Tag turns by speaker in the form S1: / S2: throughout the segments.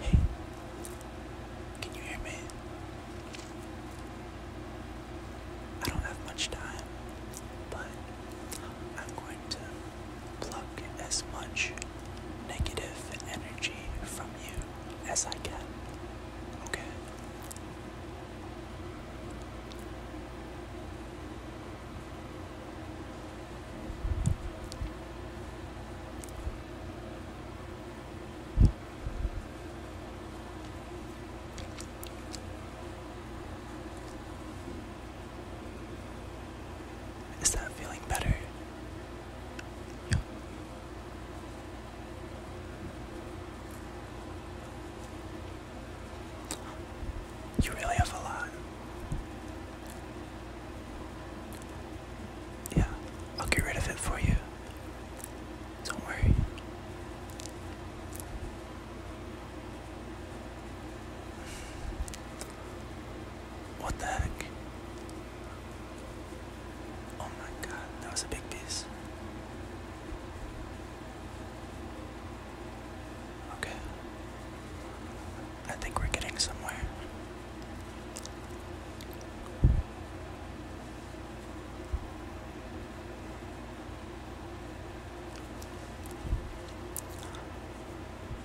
S1: Hey, can you hear me? I don't have much time, but I'm going to pluck as much negative energy from you as I can. Okay? Is that feeling better? You really have a lot. Yeah, I'll get rid of it for you. Don't worry. What the heck? Oh my god, that was a big piece. Okay. I think we're getting somewhere.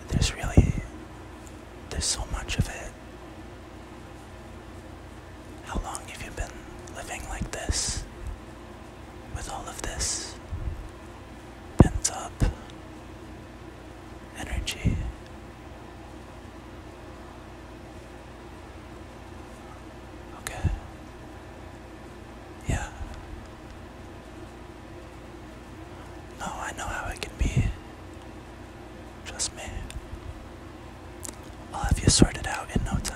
S1: There's really, there's so much of it. How long have you been living like this? With all of this? pent up energy. Okay. Yeah. No, I know how it can be. Trust me. I'll have you sorted out in no time.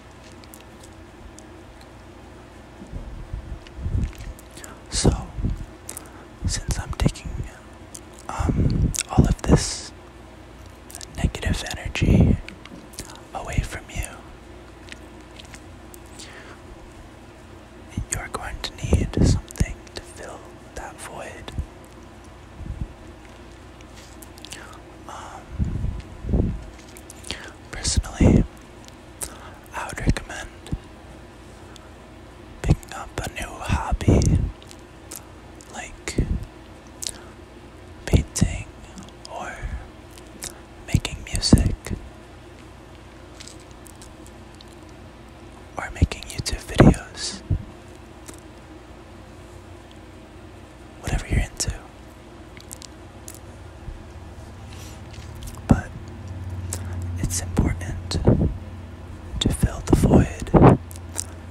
S1: So, since I'm taking um, all of this negative energy away from you, you're going to need something to fill that void. Um, personally, I would recommend picking up a new hobby like painting or making music or making YouTube videos whatever you're into. But it's important to fill the void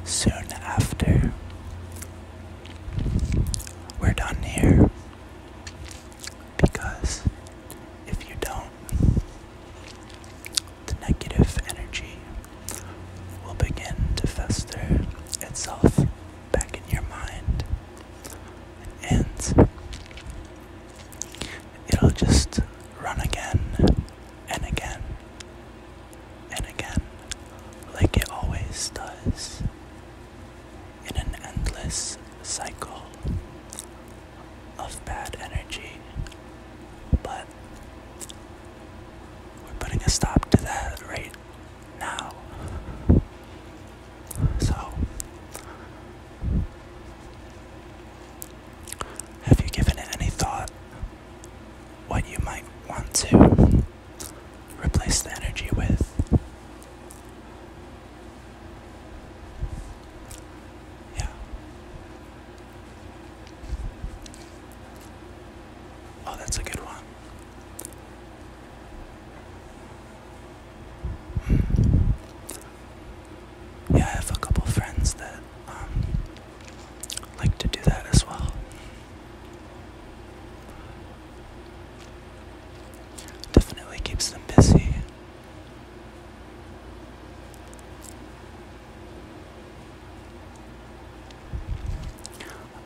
S1: soon after we're done here. Because if you don't, the negative energy will begin to fester itself back in your mind and it'll just run again and again and again like it always does in an endless cycle of bad energy but we're putting a stop to that right now. So, have you given any thought what you might want to replace the energy with? Yeah. Oh, that's a good one. Yeah, I have a couple friends that um, like to do that as well. Definitely keeps them busy.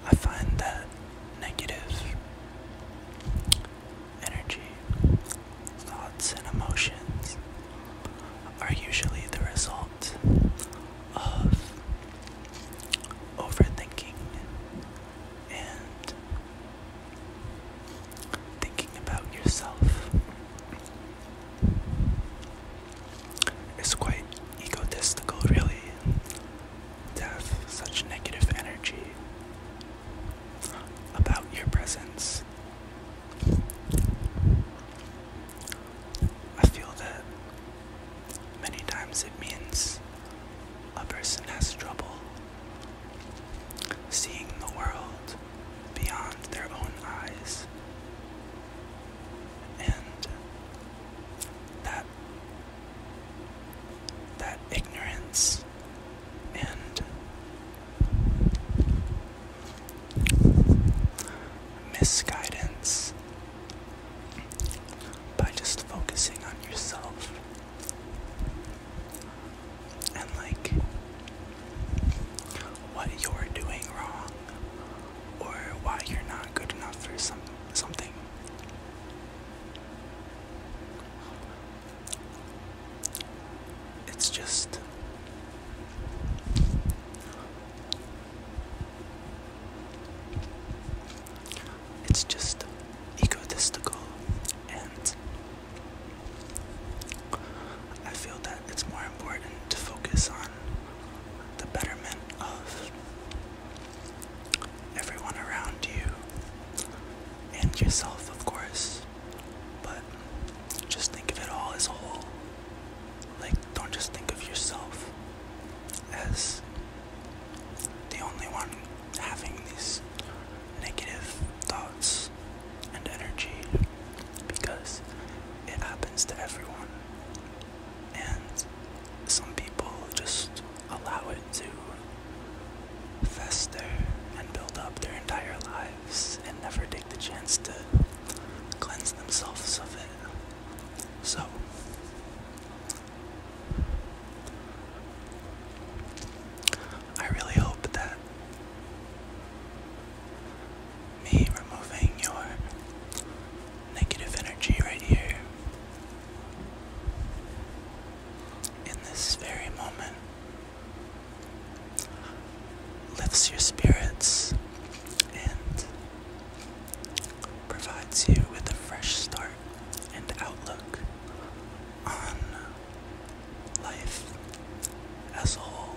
S1: I find that negative energy, thoughts, and emotions are usually the result of overthinking and thinking about yourself. It's quite egotistical, really, death, such negative energy about your presence. I feel that many times it means a person has trouble seeing the world beyond their own eyes. And that that ignorance and misguidance by just focusing on yourself and like what you're doing wrong or why you're not good enough for some something it's just it's just egotistical and I feel that it's more important to focus on the betterment of everyone around you, and yourself, of course. But just think of it all as a whole. Like, don't just think of yourself as the only one having these negative thoughts and energy because it happens to everyone and some people just allow it to fester and build up their entire lives and never take the chance to cleanse themselves of it. So, I really hope that me removing your negative energy right here. In this very moment, lifts your spirits and provides you with a fresh start and outlook on life as a whole.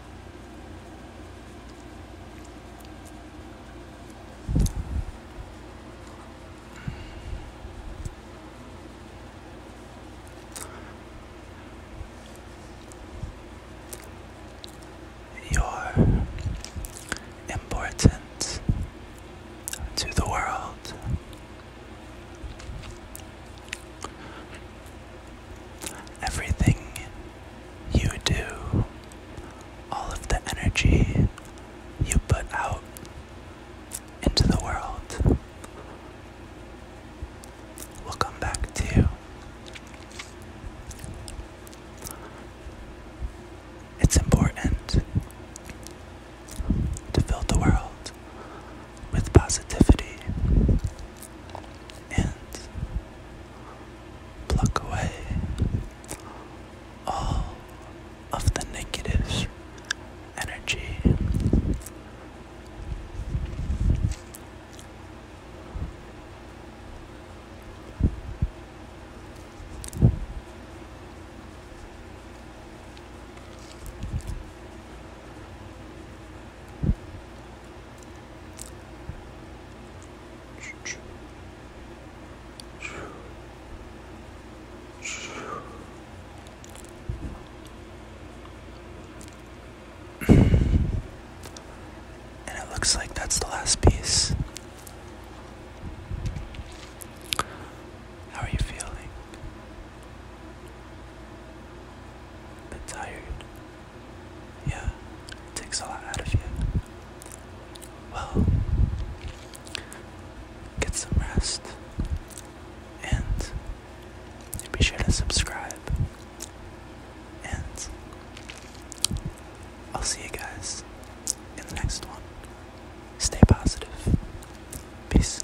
S1: You're important to the world. Everything you do, all of the energy you put out into the world will come back to you. It's important to fill the world with positivity and pluck away all of the negative energy. And it looks like that's the last piece. How are you feeling? A bit tired. Yeah, takes a lot out of you. Well, get some rest and be sure to subscribe. And I'll see you guys in the next one. Stay positive. Peace.